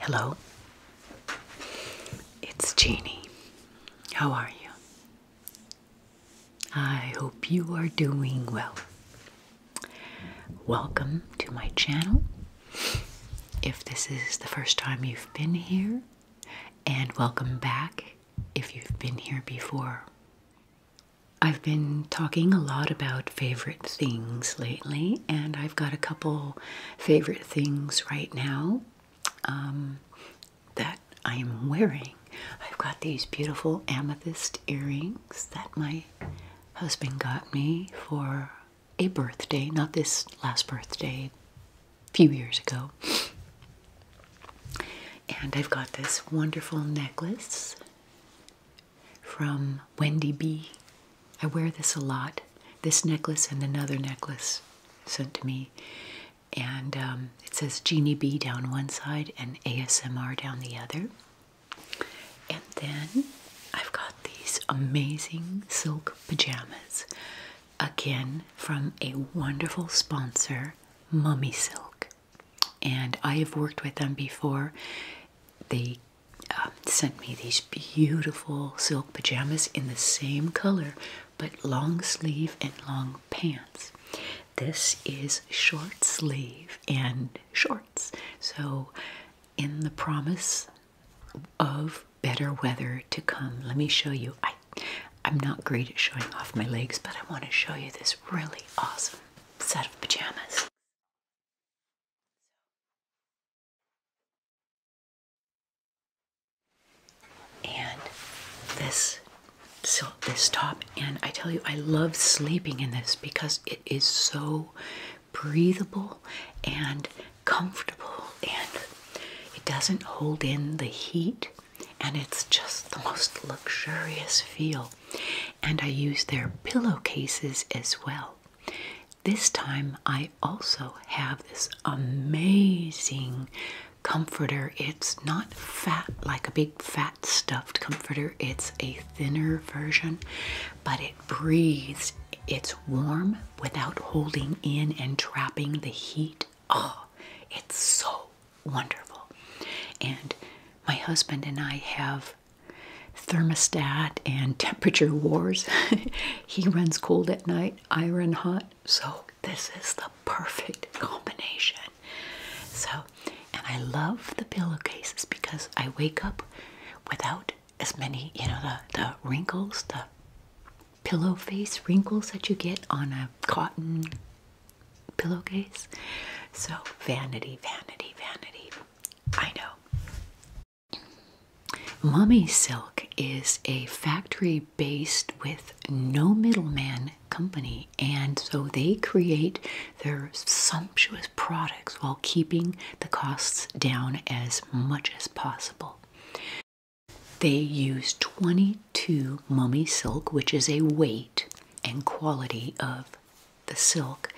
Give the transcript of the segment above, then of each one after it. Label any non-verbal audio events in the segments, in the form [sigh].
Hello, it's Jeannie. How are you? I hope you are doing well. Welcome to my channel if this is the first time you've been here, and welcome back if you've been here before. I've been talking a lot about favorite things lately, and I've got a couple favorite things right now um, that I am wearing. I've got these beautiful amethyst earrings that my husband got me for a birthday, not this last birthday, a few years ago. And I've got this wonderful necklace from Wendy B. I wear this a lot. This necklace and another necklace sent to me. And um, it says Genie B down one side and ASMR down the other. And then I've got these amazing silk pajamas, again from a wonderful sponsor, Mummy Silk. And I have worked with them before. They um, sent me these beautiful silk pajamas in the same color, but long sleeve and long pants. This is short sleeve and shorts. So, in the promise of better weather to come. Let me show you. I, I'm not great at showing off my legs, but I want to show you this really awesome set of pajamas. And this so this top and I tell you I love sleeping in this because it is so breathable and comfortable, and it doesn't hold in the heat, and it's just the most luxurious feel. And I use their pillowcases as well. This time, I also have this amazing comforter. It's not fat, like a big fat stuffed comforter, it's a thinner version, but it breathes. It's warm without holding in and trapping the heat. Oh, it's so wonderful. And my husband and I have thermostat and [laughs] temperature wars. [laughs] he runs cold at night, I run hot. So this is the perfect combination. So, and I love the pillowcases because I wake up without as many, you know, the, the wrinkles, the pillow face wrinkles that you get on a cotton pillowcase. So, vanity, vanity, vanity. I know. Mummy Silk is a factory based with no middleman company, and so they create their sumptuous products while keeping the costs down as much as possible. They use 22 mummy silk, which is a weight and quality of the silk,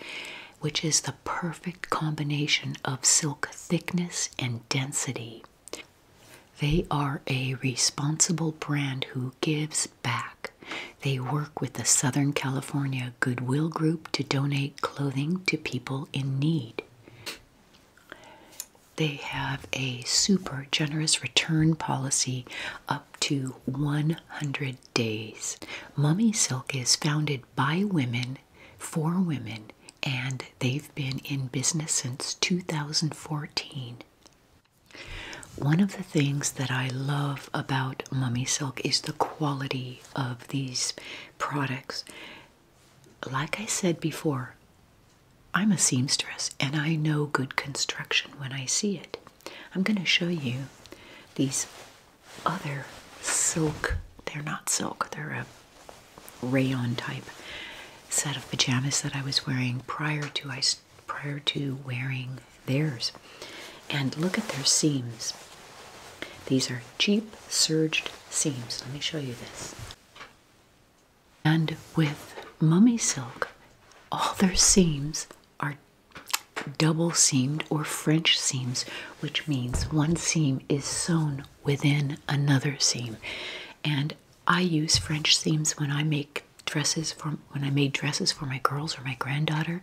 which is the perfect combination of silk thickness and density. They are a responsible brand who gives back. They work with the Southern California goodwill group to donate clothing to people in need. They have a super generous return policy up to 100 days. Mummy Silk is founded by women for women, and they've been in business since 2014. One of the things that I love about Mummy Silk is the quality of these products. Like I said before, I'm a seamstress and I know good construction when I see it. I'm going to show you these other silk, they're not silk, they're a rayon type set of pajamas that I was wearing prior to I prior to wearing theirs. And look at their seams. These are cheap serged seams. Let me show you this. And with mummy silk, all their seams are double seamed or French seams, which means one seam is sewn within another seam. And I use French seams when I make dresses for when I made dresses for my girls or my granddaughter,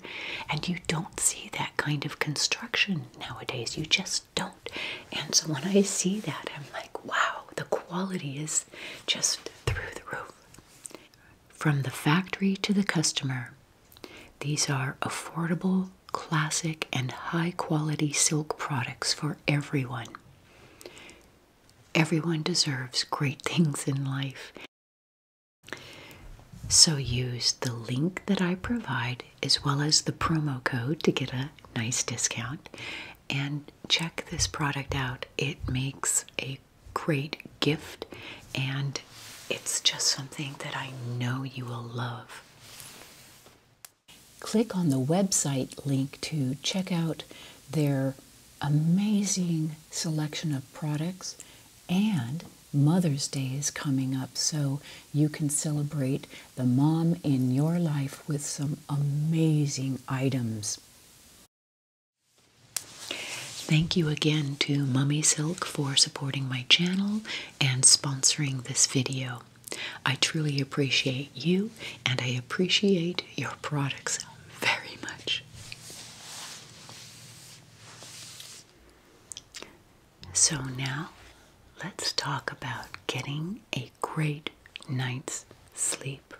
and you don't see that kind of construction nowadays. You just don't. And so when I see that, I'm like, wow, the quality is just through the roof. From the factory to the customer, these are affordable, classic, and high quality silk products for everyone. Everyone deserves great [laughs] things in life. So use the link that I provide as well as the promo code to get a nice discount. And check this product out. It makes a great gift and it's just something that I know you will love. Click on the website link to check out their amazing selection of products and Mother's Day is coming up, so you can celebrate the mom in your life with some amazing items. Thank you again to Mummy Silk for supporting my channel and sponsoring this video. I truly appreciate you and I appreciate your products very much. So now let's talk about getting a great night's sleep.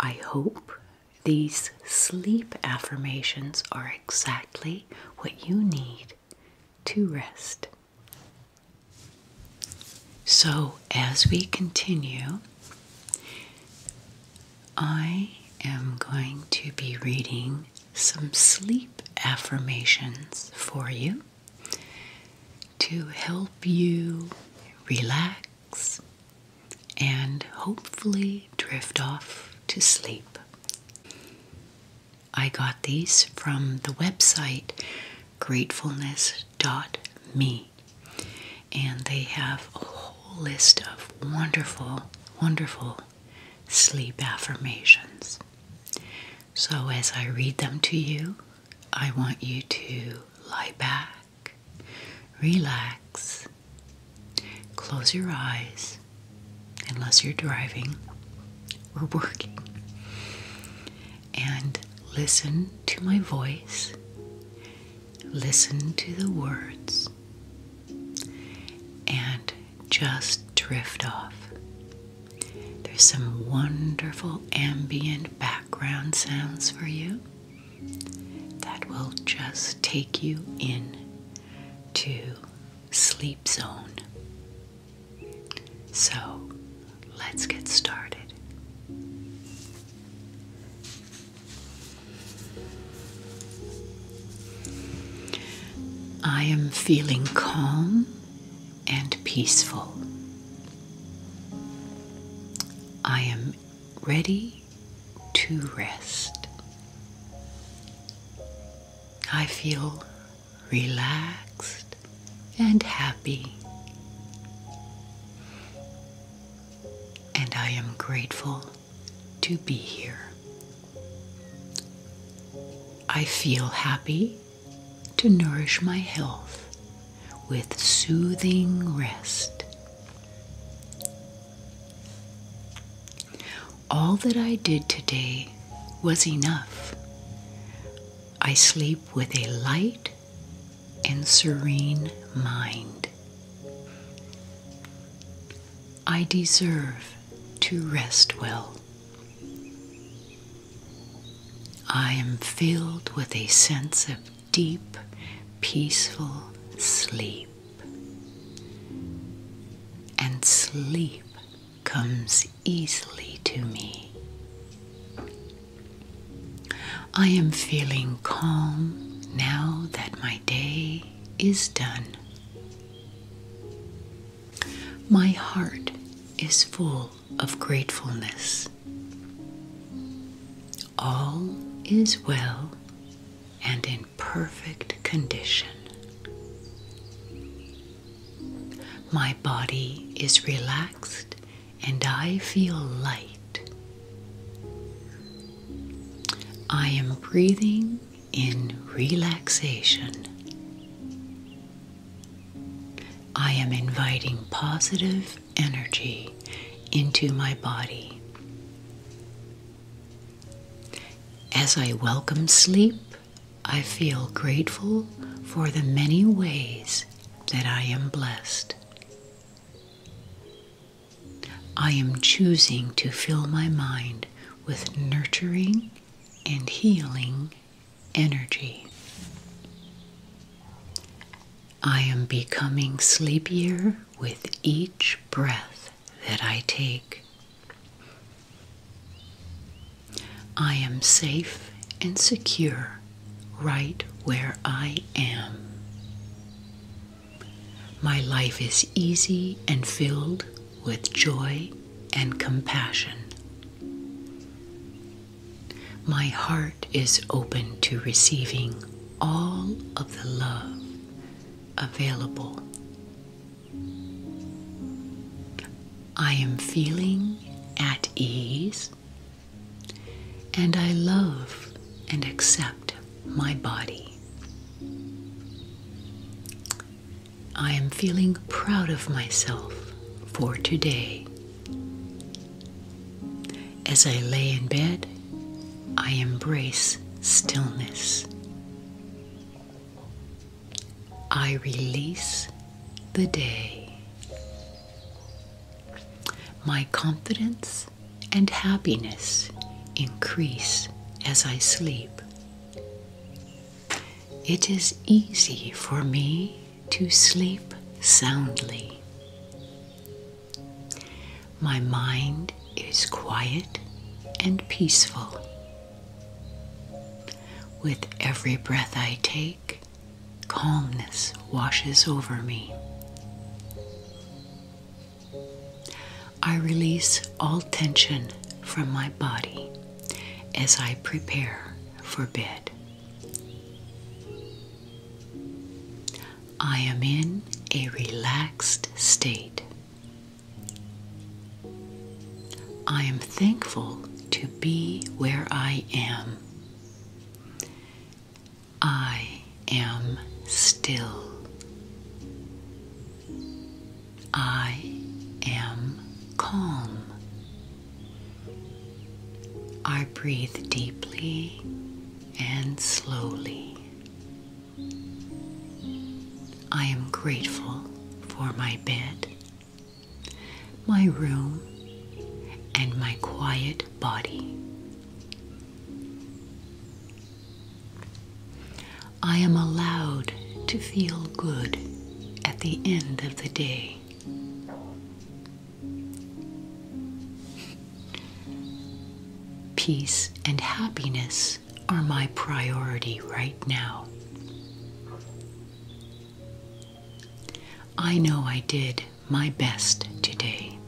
I hope these sleep affirmations are exactly what you need to rest. So, as we continue, I am going to be reading some sleep affirmations for you to help you relax and hopefully drift off to sleep. I got these from the website gratefulness.me, and they have a whole list of wonderful, wonderful sleep affirmations. So, as I read them to you, I want you to lie back, relax, close your eyes, unless you're driving or working, and listen to my voice, listen to the words, and just drift off. There's some wonderful ambient background sounds for you that will just take you in to sleep zone. So let's get started. I am feeling calm and peaceful. I am ready to rest. I feel relaxed and happy. And I am grateful to be here. I feel happy to nourish my health with soothing rest. All that I did today was enough. I sleep with a light and serene mind. I deserve to rest well. I am filled with a sense of deep, peaceful sleep. And sleep comes easily to me. I am feeling calm now that my day is done. My heart is full of gratefulness. All is well and in perfect condition. My body is relaxed and I feel light. I am breathing in relaxation. I am inviting positive energy into my body. As I welcome sleep, I feel grateful for the many ways that I am blessed. I am choosing to fill my mind with nurturing and healing energy. I am becoming sleepier with each breath that I take. I am safe and secure right where I am. My life is easy and filled with joy and compassion. My heart is open to receiving all of the love available. I am feeling at ease and I love and accept my body. I am feeling proud of myself for today. As I lay in bed, I embrace stillness. I release the day. My confidence and happiness increase as I sleep. It is easy for me to sleep soundly. My mind is quiet and peaceful. With every breath I take, calmness washes over me. I release all tension from my body as I prepare for bed. I am in a relaxed state. I am thankful to be where I am. I am still. I am calm. I breathe deeply and slowly. I am grateful for my bed, my room, and my quiet body. I am allowed to feel good at the end of the day. Peace and happiness are my priority right now. I know I did my best today.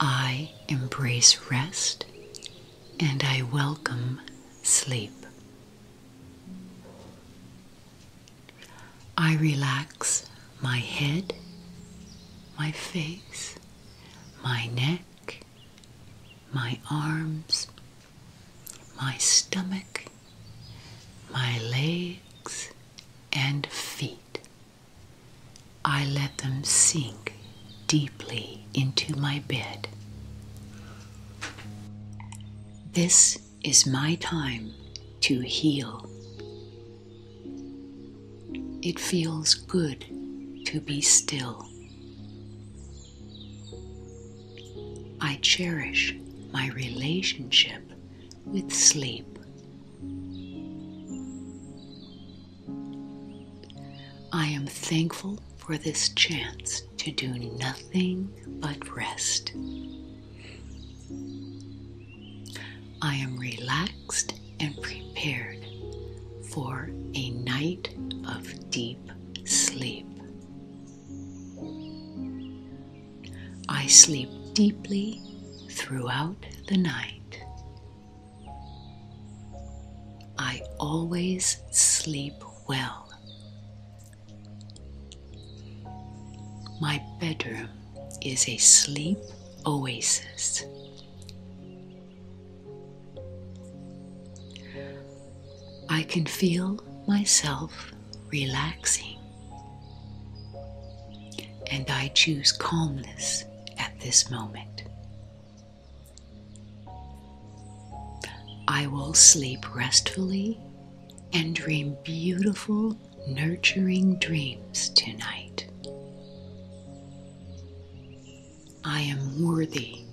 I embrace rest and I welcome sleep. I relax my head, my face, my neck, my arms, my stomach, my legs, and feet. I let them sink deeply into my bed. This is my time to heal. It feels good to be still. I cherish my relationship with sleep. I am thankful for this chance to do nothing but rest. I am relaxed and prepared for a night of deep sleep. I sleep deeply throughout the night I always sleep well. My bedroom is a sleep oasis. I can feel myself relaxing, and I choose calmness at this moment. I will sleep restfully and dream beautiful, nurturing dreams tonight. I am worthy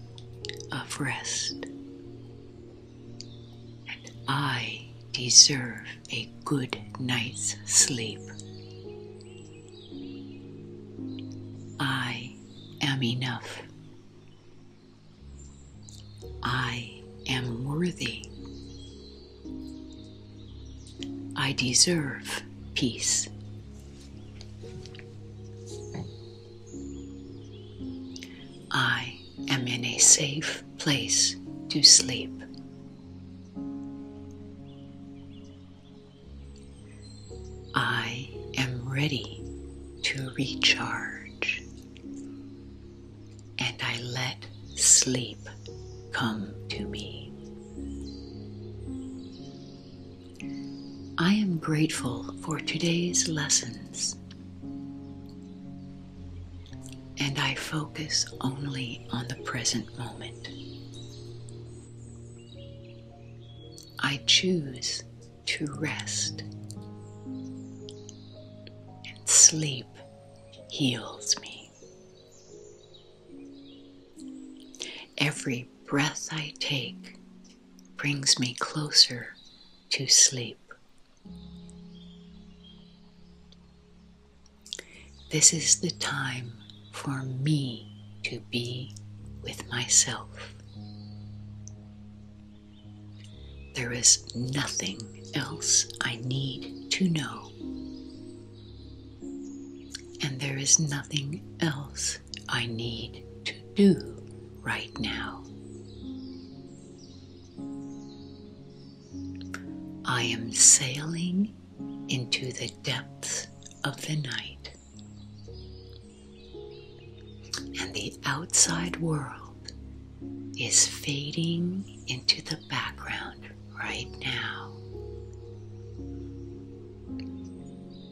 of rest, and I deserve a good night's sleep. I am enough. I am worthy. I deserve peace. I am in a safe place to sleep. I am ready to recharge, and I let sleep come to me. I am grateful for today's lessons, and I focus only on the present moment. I choose to rest. And sleep heals me. Every breath I take brings me closer to sleep. This is the time for me to be with myself. There is nothing else I need to know. And there is nothing else I need to do right now. I am sailing into the depths of the night. And the outside world is fading into the background right now.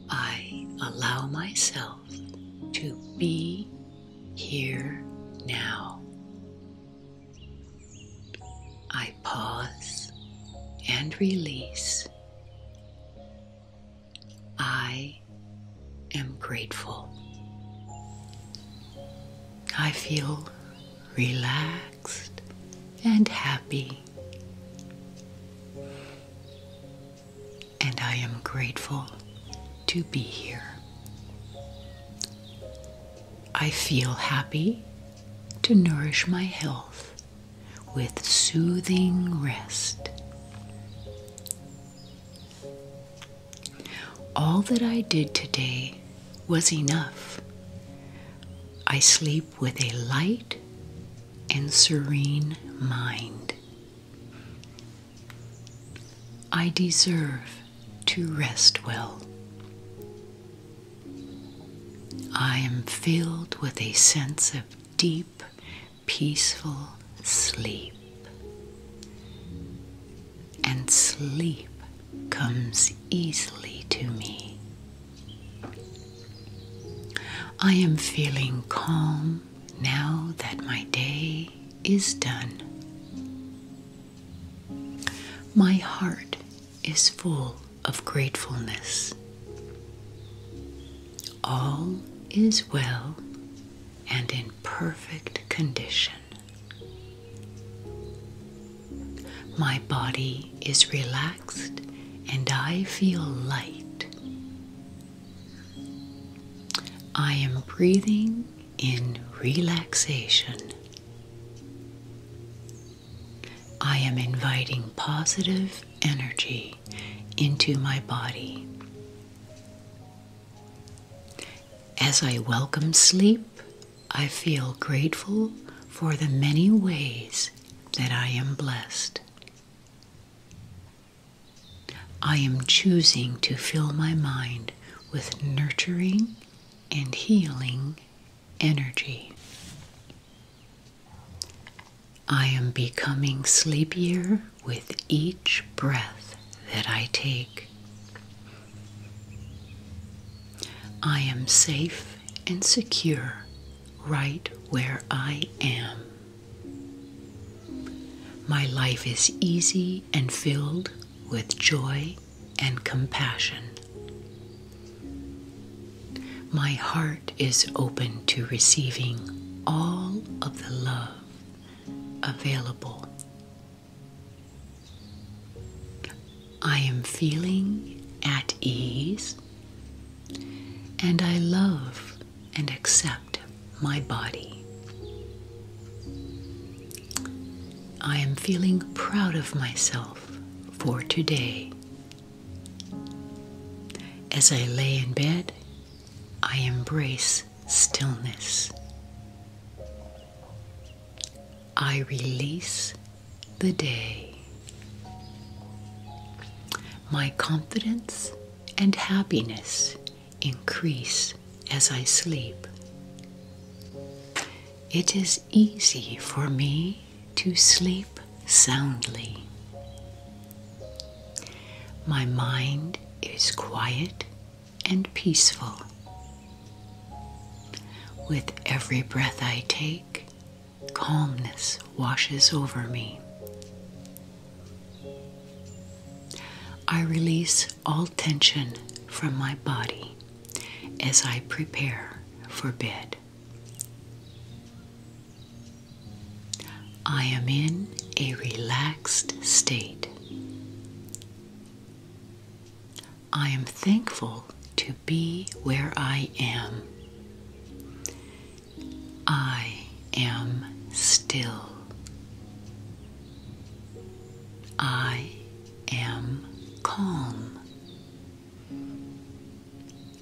I allow myself to be here now. I pause and release. I am grateful. I feel relaxed and happy. And I am grateful to be here. I feel happy to nourish my health with soothing rest. All that I did today was enough. I sleep with a light and serene mind. I deserve to rest well. I am filled with a sense of deep, peaceful sleep. And sleep comes easily to me. I am feeling calm now that my day is done. My heart is full of gratefulness. All is well and in perfect condition. My body is relaxed and I feel light. I am breathing in relaxation. I am inviting positive energy into my body. As I welcome sleep, I feel grateful for the many ways that I am blessed. I am choosing to fill my mind with nurturing and healing energy. I am becoming sleepier with each breath that I take. I am safe and secure right where I am. My life is easy and filled with joy and compassion. My heart is open to receiving all of the love available. I am feeling at ease and I love and accept my body. I am feeling proud of myself for today as I lay in bed, I embrace stillness. I release the day. My confidence and happiness increase as I sleep. It is easy for me to sleep soundly. My mind is quiet and peaceful. With every breath I take, calmness washes over me. I release all tension from my body as I prepare for bed. I am in a relaxed state. I am thankful to be where I am. I am still. I am calm.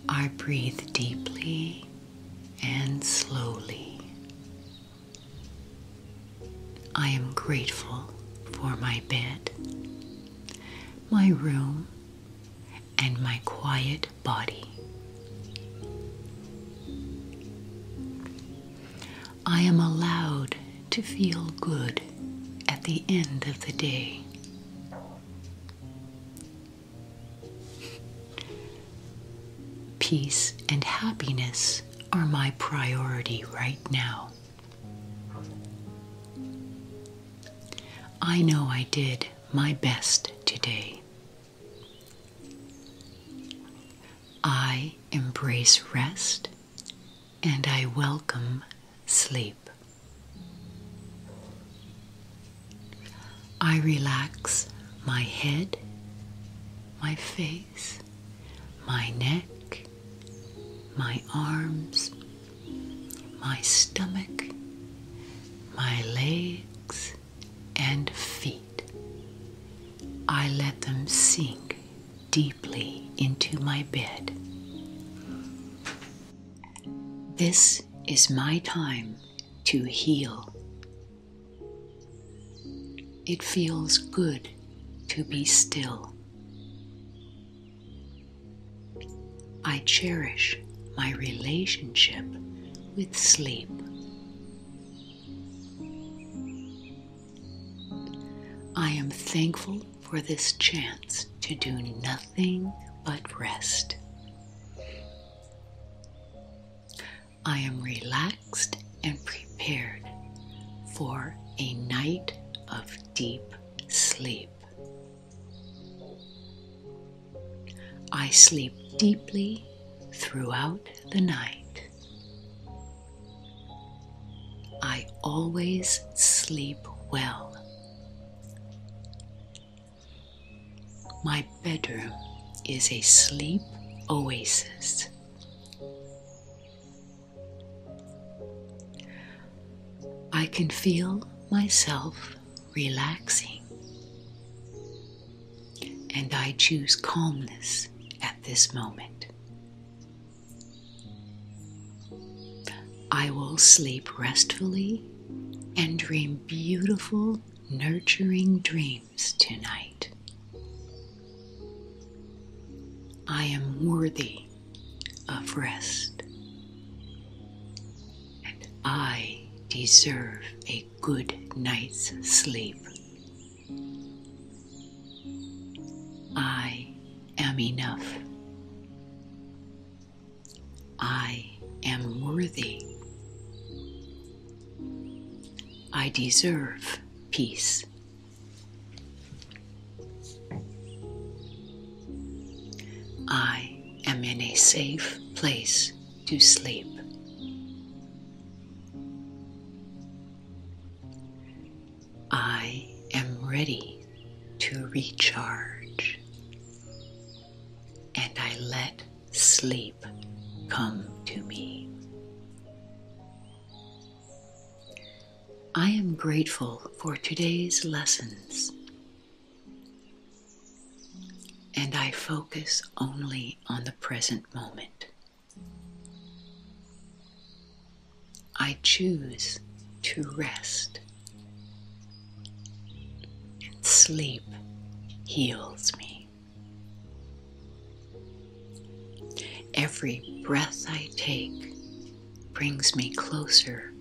I breathe deeply and slowly. I am grateful for my bed, my room, and my quiet body. I am allowed to feel good at the end of the day. Peace and happiness are my priority right now. I know I did my best today. I embrace rest and I welcome sleep. I relax my head, my face, my neck, my arms, my stomach, my legs, and feet. I let them sink deeply into my bed. This is my time to heal. It feels good to be still. I cherish my relationship with sleep. I am thankful for this chance to do nothing but rest. I am relaxed and prepared for a night of deep sleep. I sleep deeply throughout the night. I always sleep well my bedroom is a sleep oasis. I can feel myself relaxing, and I choose calmness at this moment. I will sleep restfully and dream beautiful, nurturing dreams tonight. I am worthy of rest, and I deserve a good night's sleep. I am enough. I am worthy. I deserve peace. I am in a safe place to sleep. I am ready to recharge. And I let sleep come to me. I am grateful for today's lessons. And I focus only on the present moment. I choose to rest. And sleep heals me. Every breath I take brings me closer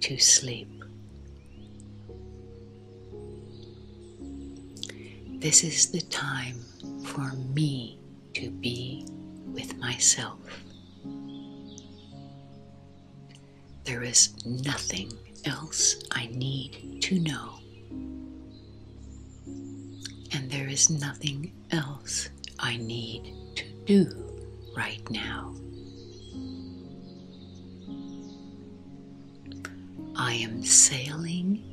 to sleep. This is the time for me to be with myself. There is nothing else I need to know. And there is nothing else I need to do right now. I am sailing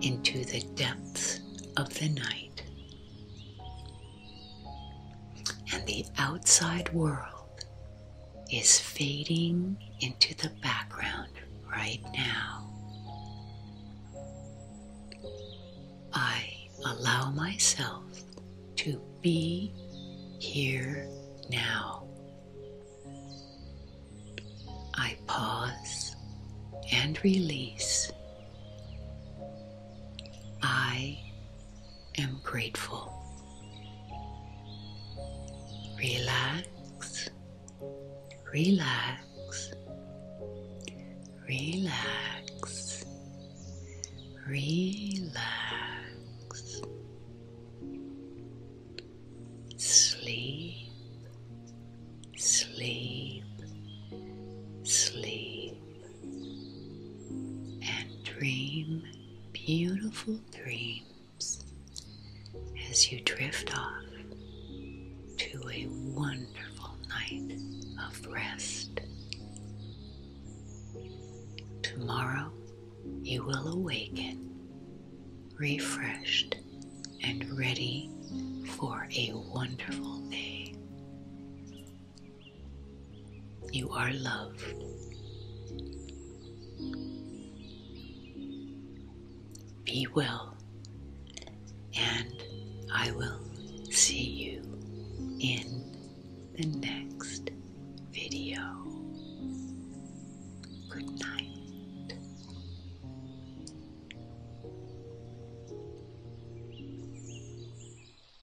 into the depths of the night and the outside world is fading into the background right now. I allow myself to be here now. I pause and release. I am grateful. Relax, relax, relax, relax. Sleep, sleep, sleep and dream beautiful dreams as you drift off to a wonderful night of rest. Tomorrow you will awaken refreshed and ready for a wonderful day. You are loved. Be well, and I will see you in the next video. Good night.